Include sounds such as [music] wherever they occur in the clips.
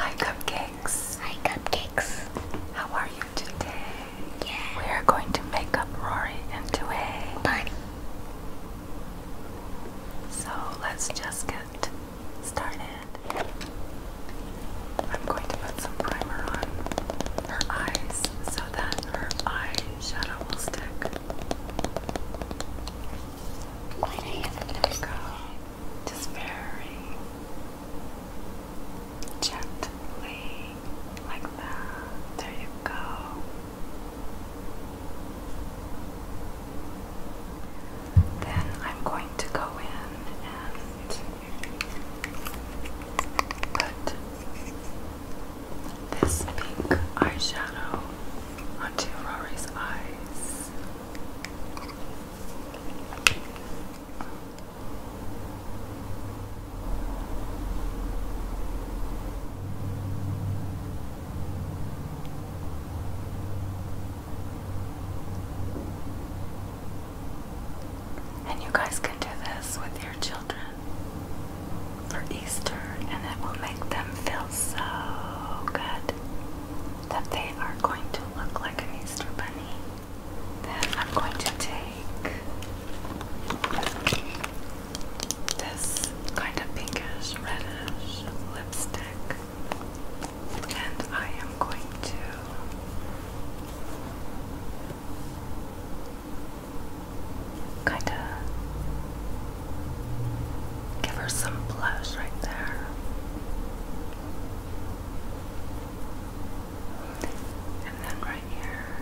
Hi cupcakes. Hi cupcakes. How are you today? We are going to make up Rory into a bunny. So let's just get started. I'm going to put some primer on her eyes so that her eyeshadow will stick gently, like that. There you go. Then I'm going to go in and put this pink eyeshadow onto Rory's eyes this. And you guys can do this with your children for Easter, and it will make them feel so good that they are going to look like an Easter bunny. Then I'm going to take this kind of pinkish reddish lipstick and I am going to kind of Give her some blush right there. And then right here.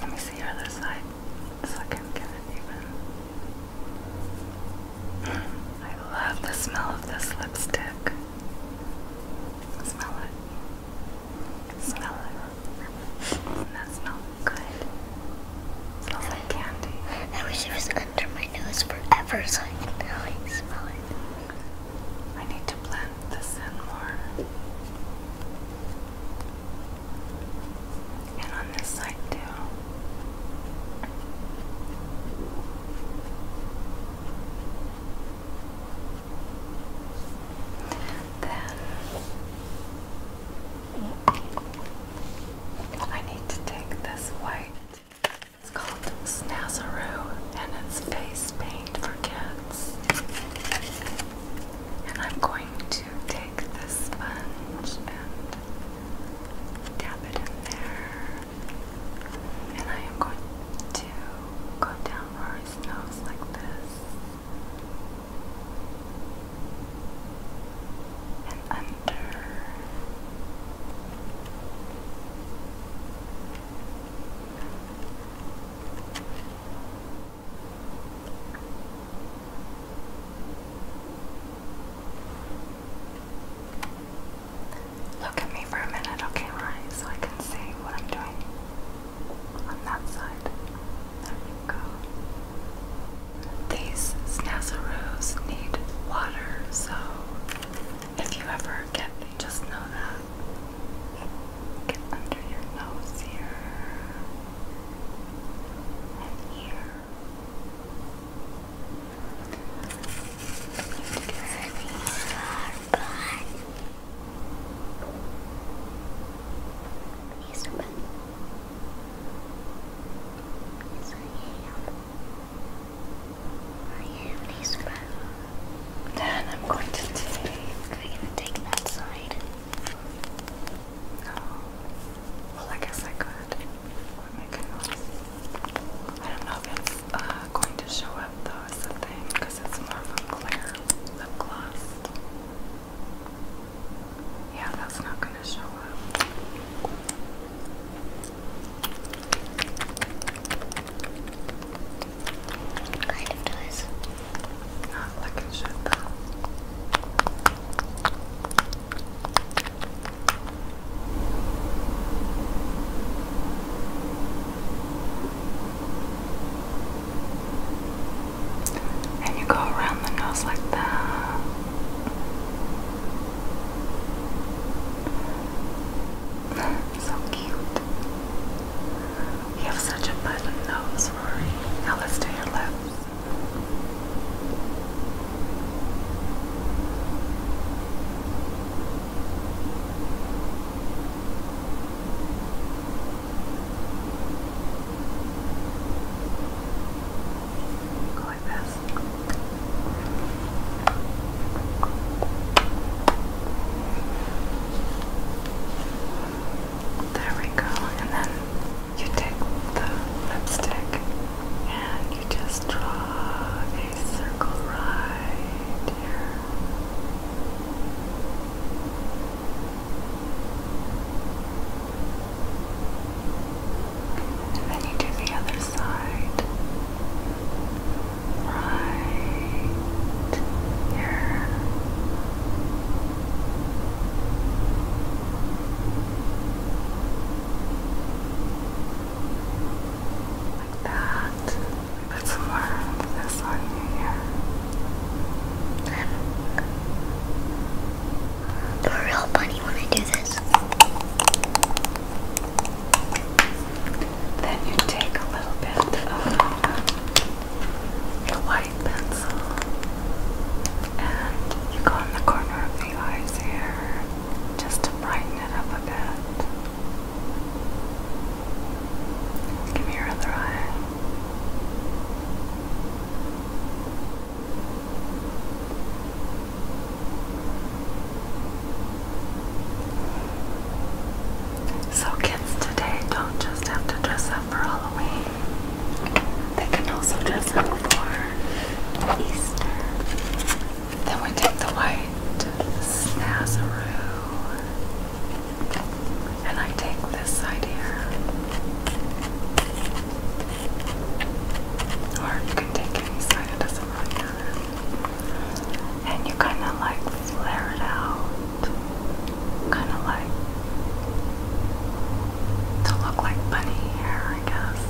Let me see your other side so I can get it even. I love the smell of this lipstick. Smell it. Smell it. that smell good? It smells candy. I wish it was under my nose forever so I I need to blend this in more and on this side too. Then I need to take this white. It's called Snazaroo and it's face paint for kids. And I'm going take this sponge and dab it in there. And I am going to go down where nose like this. And under. Look at me for a minute, okay, right? So I can see what I'm doing on that side. There you go. These snazaroos need water, so if you ever get they just know that. Get under your nose here and here. Turning your back. Yes, open. Yes, I am. I am Nisra. Then I'm going to take. We're going to take that side. Oh, well, I guess I could. I don't know if it's uh, going to show up though as a thing because it's more of a clear lip gloss. Yeah, that's not gonna show up. Kind of does like it should And you go around the nose like that. [laughs] so cute. You have such a button nose, Rory. Now let's do your lips. Go like there we go. And then you take the lipstick and you just draw a circle right here. And then you do the other side. Right here. Like that. some more warm this on here. Do a real bunny when I do this. Then you take a little bit of the um, white pencil and you go in the corner of the eyes here just to brighten it up a bit. Give me your other eye. So kids today don't just have to dress up for Halloween. They can also dress up for Easter. Then we take the white snazaroo. And I take this side here. Or you can take any side, it doesn't And you kind of like flare it out kind of like to look like bunny hair, I guess.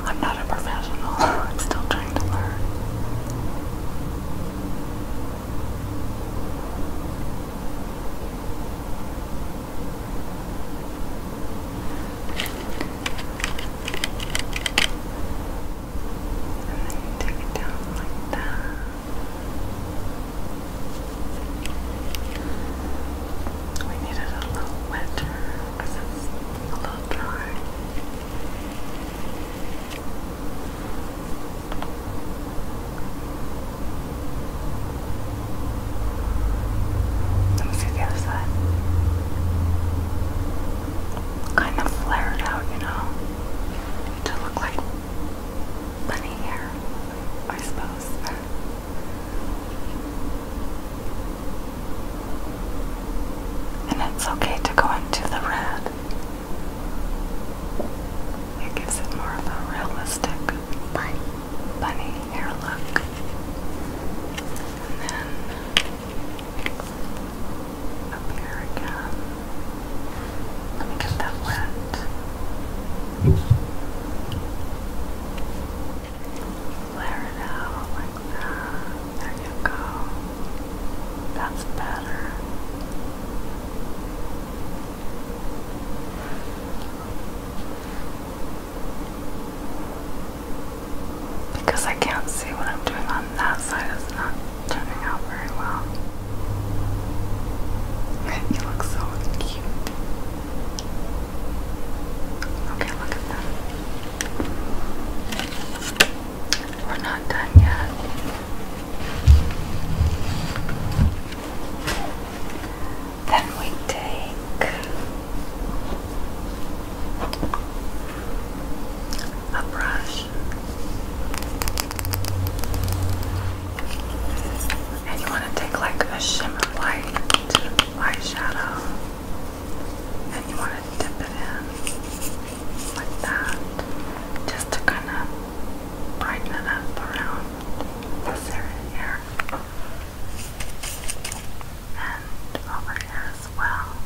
I'm not a professional, [laughs] I'm still trying to learn. And then you take it down like that. We need a little wetter it's a little dry. Let me see the other side. Kind of flared out, you know, to look like bunny hair, I suppose. And it's okay to go into the red. It gives it more of a realistic bunny bunny hair look. And then up here again. Let me get that wet. Flare it like that. There you go. That's better. Because I can't see what I'm doing on that side, it's not turning out very well. You look so cute. Okay, look at that. We're not done yet. Then we take a brush and you want to take like a shimmer light eyeshadow and you want to dip it in like that just to kind of brighten it up around this area here and over here as well.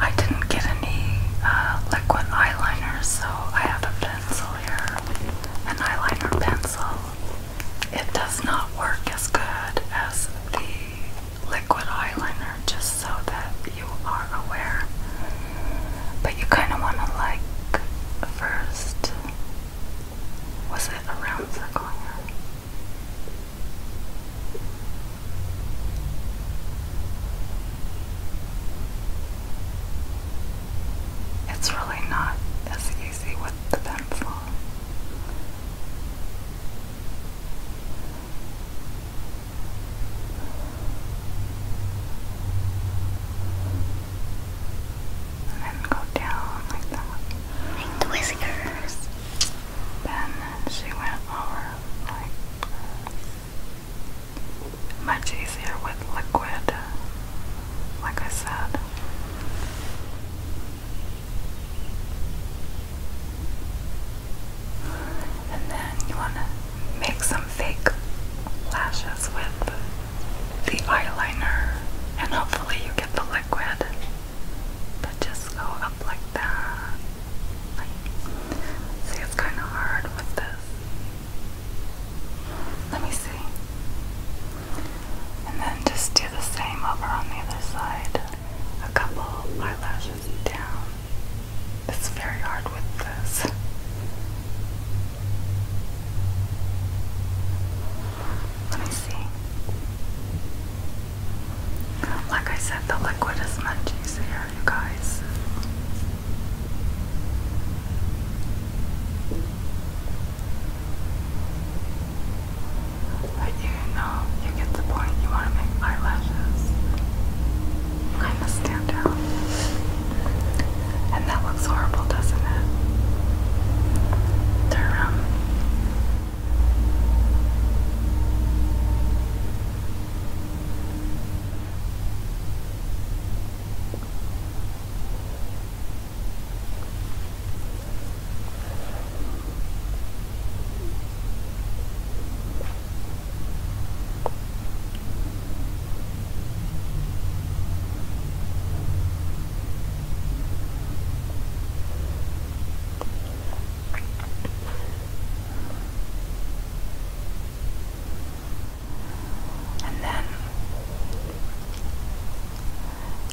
I didn't get any uh, liquid eyeliner, so I have a pencil here, an eyeliner pencil. It does not work as good as the liquid eyeliner, just so that you are aware. But you kind of want to like first was it a round her? It's really not as easy with the pencil and then go down like that. Like the whiskers. Then she went over like much easier with liquid, like I said. And then you want to make some fake lashes with the eyeliner, and hopefully you get the liquid. But just go up like that. Like, see, it's kind of hard with this. Let me see. And then just do the same over on the other side. A couple eyelashes down. It's very hard with this. Let me see. Like I said, the liquid is much easier, you guys. But you know, you get the point. You want to make eyelashes kind of stand out. And that looks horrible, doesn't it? Durham. And then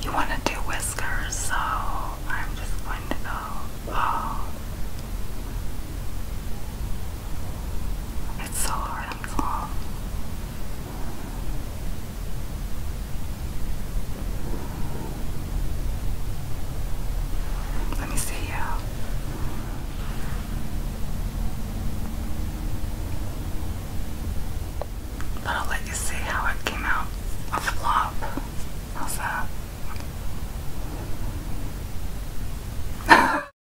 you want to do whiskers, so I'm just going to go all oh. It's so harmful. Let me see you. But I'll let you see how it came out a flop. How's that? [laughs]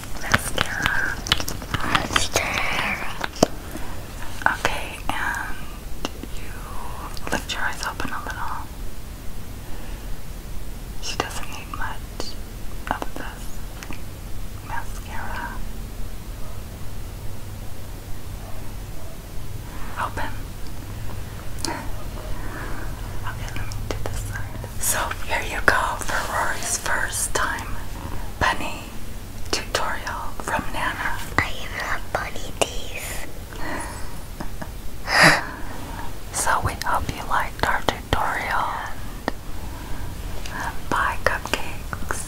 mascara. Okay, and you lift your eyes open a little. She doesn't need much of this mascara. Open. Okay, let me do this side. So here you go for Rory's first time bunny tutorial from Nana. I even have bunny teeth. [laughs] so we hope you liked our tutorial. And buy cupcakes.